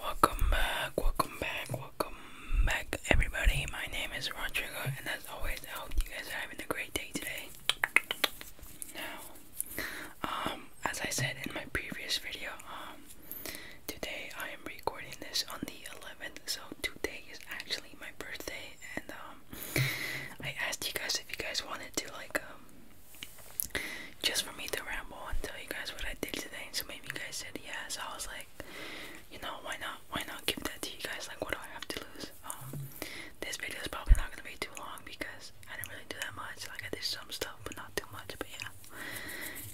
Welcome back, welcome back, welcome back, everybody. My name is Rodrigo, and as always, I hope you guys are having a great day today. Now, um, as I said in my previous video, um, today I am recording this on the 11th, so today is actually my birthday, and um, I asked you guys if you guys wanted to like just for me to ramble and tell you guys what I did today. so maybe you guys said yes. I was like, you know, why not? Why not give that to you guys? Like, what do I have to lose? Um, this video is probably not gonna be too long because I didn't really do that much. Like, I did some stuff, but not too much. But yeah,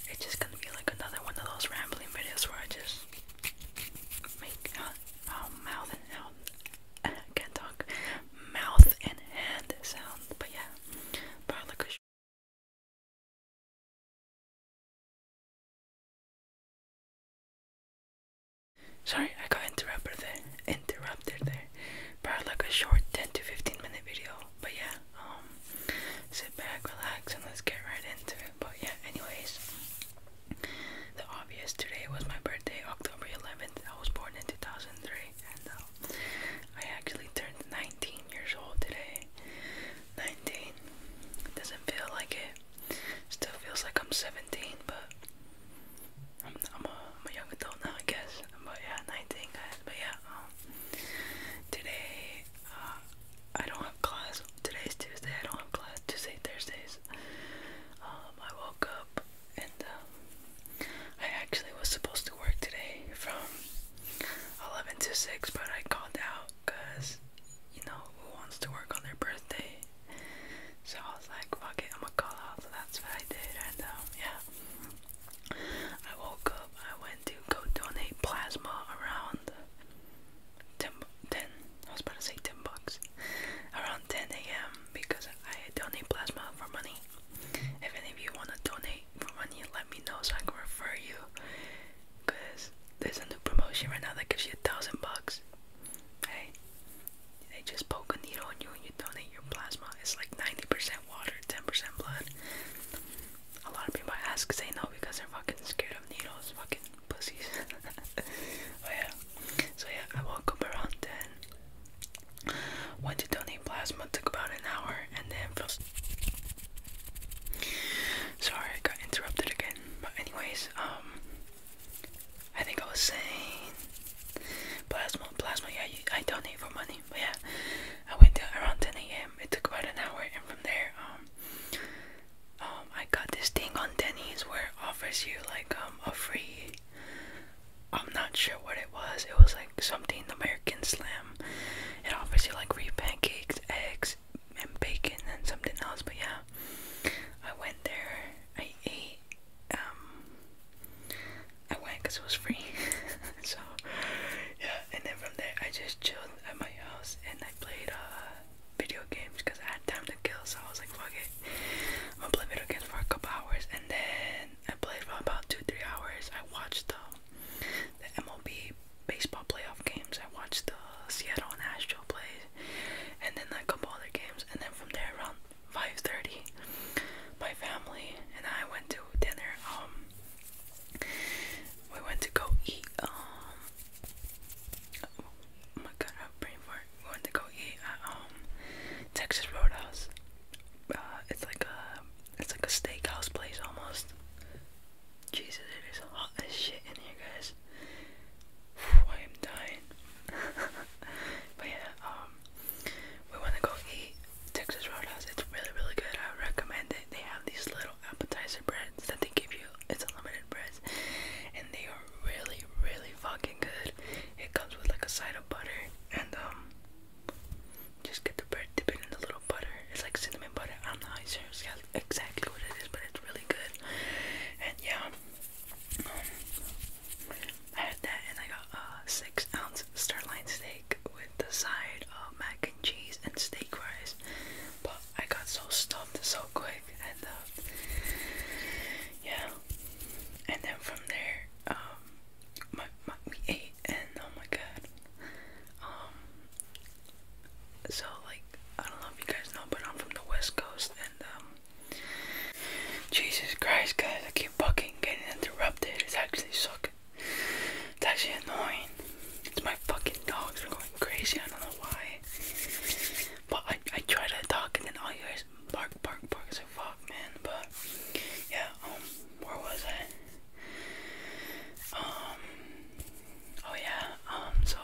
it's just gonna be like another one of those rambling videos where I just make um, mouth and out can't talk mouth and hand sound, but yeah, Barlakush. Sorry, I got interrupted there. Interrupted there. Probably like a short 10 to 15 minute video. But yeah, um, sit back, relax, and let's get right into it. But yeah, anyways, the obvious today was my birthday, October 11th. I was born in 2003 right? I actually turned 19 years old today. 19. Doesn't feel like it. Still feels like I'm 17, but I'm, a young adult now, I guess. But yeah, 19, But yeah, um, today uh, I don't have class. Today's Tuesday. I don't have class Tuesday, Thursdays. Um, I woke up and um, I actually was supposed to work today from 11 to 6, but I called out because you know who wants to work on their birthday? So I was like, fuck it, I'm gonna call out. So that's what I did, and um, yeah. I woke up, I went to go donate plasma around 10, 10 I was about to say 10 bucks, around 10 a.m. because I donate plasma for money. If any of you want to donate for money, let me know so I can refer you. Cause there's a new promotion right now that gives you a thousand bucks. Hey, they just poke a needle on you and you donate your plasma. It's like 90% water, 10% blood. A lot of people ask, they know because they're fucking scared of needles, fucking pussies. oh yeah. So yeah, I woke up around 10. Went to donate plasma, took about an hour, and then feels. Sorry, I got interrupted again. But anyways, um, I think I was saying plasma, plasma. Yeah, I donate for money. yeah, I went to around 10 a.m. It took about an hour, and from there, um, um, I got this thing on Denny's where it offers you like um a free I'm not sure what it was. It was like something American Slam. It obviously like free pancakes, eggs, and bacon, and something else. But yeah, I went there. I ate. Um, I went because it was free. so yeah, and then from there I just chilled at my house and I played uh, video games because I had time to kill. So I was like, fuck it, I'm gonna play video games for a couple hours, and then I played for about two, three hours. I watched the the MLB baseball playoff games. I watched the Seattle and Astro plays, and then a couple other games. And then from there, around 5:30, my family and I went to dinner. Um, we went to go eat. Um, oh my God, I have brain fart. We went to go eat at um Texas Roadhouse. Uh, it's like a it's like a steakhouse place almost. Jesus, it is hot as shit in here, guys. I am dying. but yeah, um, we want to go eat Texas Roadhouse. It's really, really good. I recommend it. They have these little appetizer breads that they give you. It's unlimited breads, and they are really, really fucking good. It comes with like a side of butter and um just get the bread, dip in the little butter. It's like cinnamon butter. I'm not sure exactly what it is, but it's really good. And yeah, um, I had that, and I got a six ounce sirloin steak with the side of mac and cheese and steak fries. But I got so stuffed so quick, and uh, yeah. And then from there, um, we ate and oh my god. Um so like I don't know if you guys know but I'm from the west coast and um Jesus Christ guys I keep fucking getting interrupted. It's actually sucking. It's actually annoying. It's my fucking dogs are going crazy, I don't know why. But I I try to talk and then all you guys bark bark bark so fuck man but yeah um, where was it? Um, oh yeah, um, so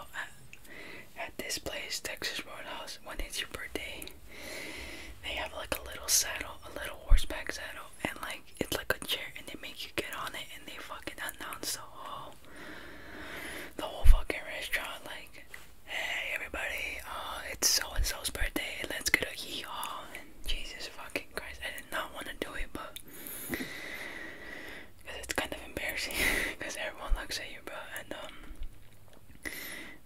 at, this place, Texas Roadhouse, when it's your birthday, they have like a little saddle, a little horseback saddle, and like it's like a chair, and they make you get on it, and they fucking announce the whole, the whole fucking restaurant, like, hey everybody, uh, it's so and so's birthday, let's go to hee haw Jesus fucking Christ, I did not want to do it, but because it's kind of embarrassing because everyone looks at you, bro. And um,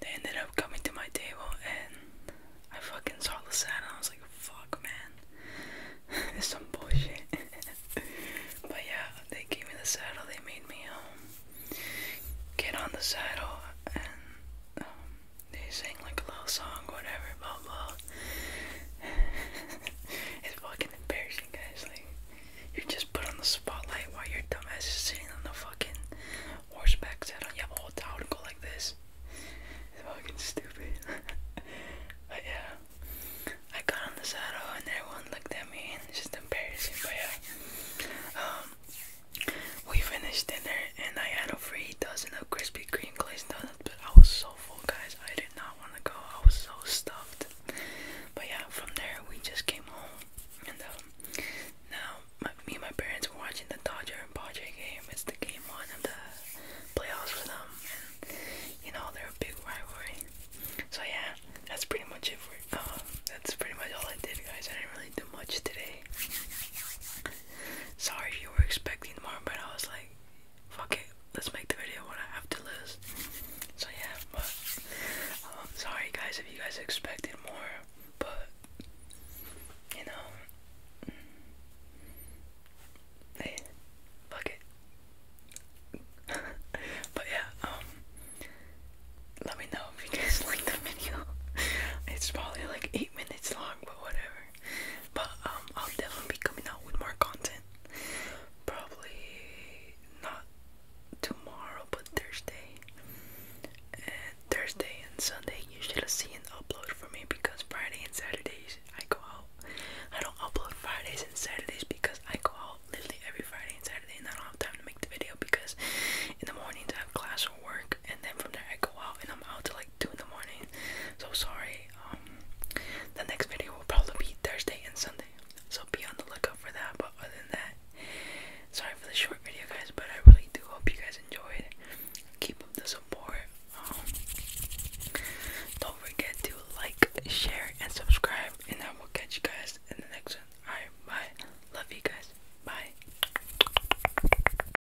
they ended up coming to my table, and I fucking saw the saddle, and I was like, "Fuck, man, it's some bullshit." but yeah, they gave me the saddle. They made me um get on the saddle and um they sing like a little song, whatever, blah blah. it's fucking embarrassing, guys. Like, you're just put on the spotlight while your dumbass is sitting on the fucking horseback saddle. You have a towel to go like this. It's fucking stupid. but yeah, I got on the saddle and everyone looked at me, and it's just embarrassing. But yeah, um, we finished dinner and I had a free dozen of Krispy Kreme glazed donuts, but I was so full, guys. I did not want to go. I was so stuffed. But yeah, from there we just came home, and um, now me and my parents were watching the Dodger and Padre game. It's the game one of the playoffs for them, and you know they're a big rivalry. So yeah, that's pretty much it for. Uh, that's pretty much all I did, guys. I didn't really do much today. Sorry if you were expecting more, but I was like, fuck it, let's make the video what I have to lose." So yeah, but um, sorry guys if you guys expected more, but you know, mm, fuck it. but yeah, um, let me know if you guys like the video. it's probably like eight minutes long, but whatever. But um, I'll definitely be coming out with more content. Probably not tomorrow, but Thursday. And Thursday and Sunday you should see an upload for me because Friday and Saturdays I go out. I don't upload Fridays and Saturdays because I go out literally every Friday and Saturday and I don't have time to make the video because in the morning I have class or work and then from there I go out and I'm out till like two in the morning. So sorry. Um, the next video will probably be Thursday and Sunday. So be on the lookout for that. But other than that, sorry for the short video guys, but I really do hope you guys enjoyed. Keep up the support. Um, don't forget to like, share and subscribe and I will catch you guys in the next one. Alright, bye. Love you guys. Bye.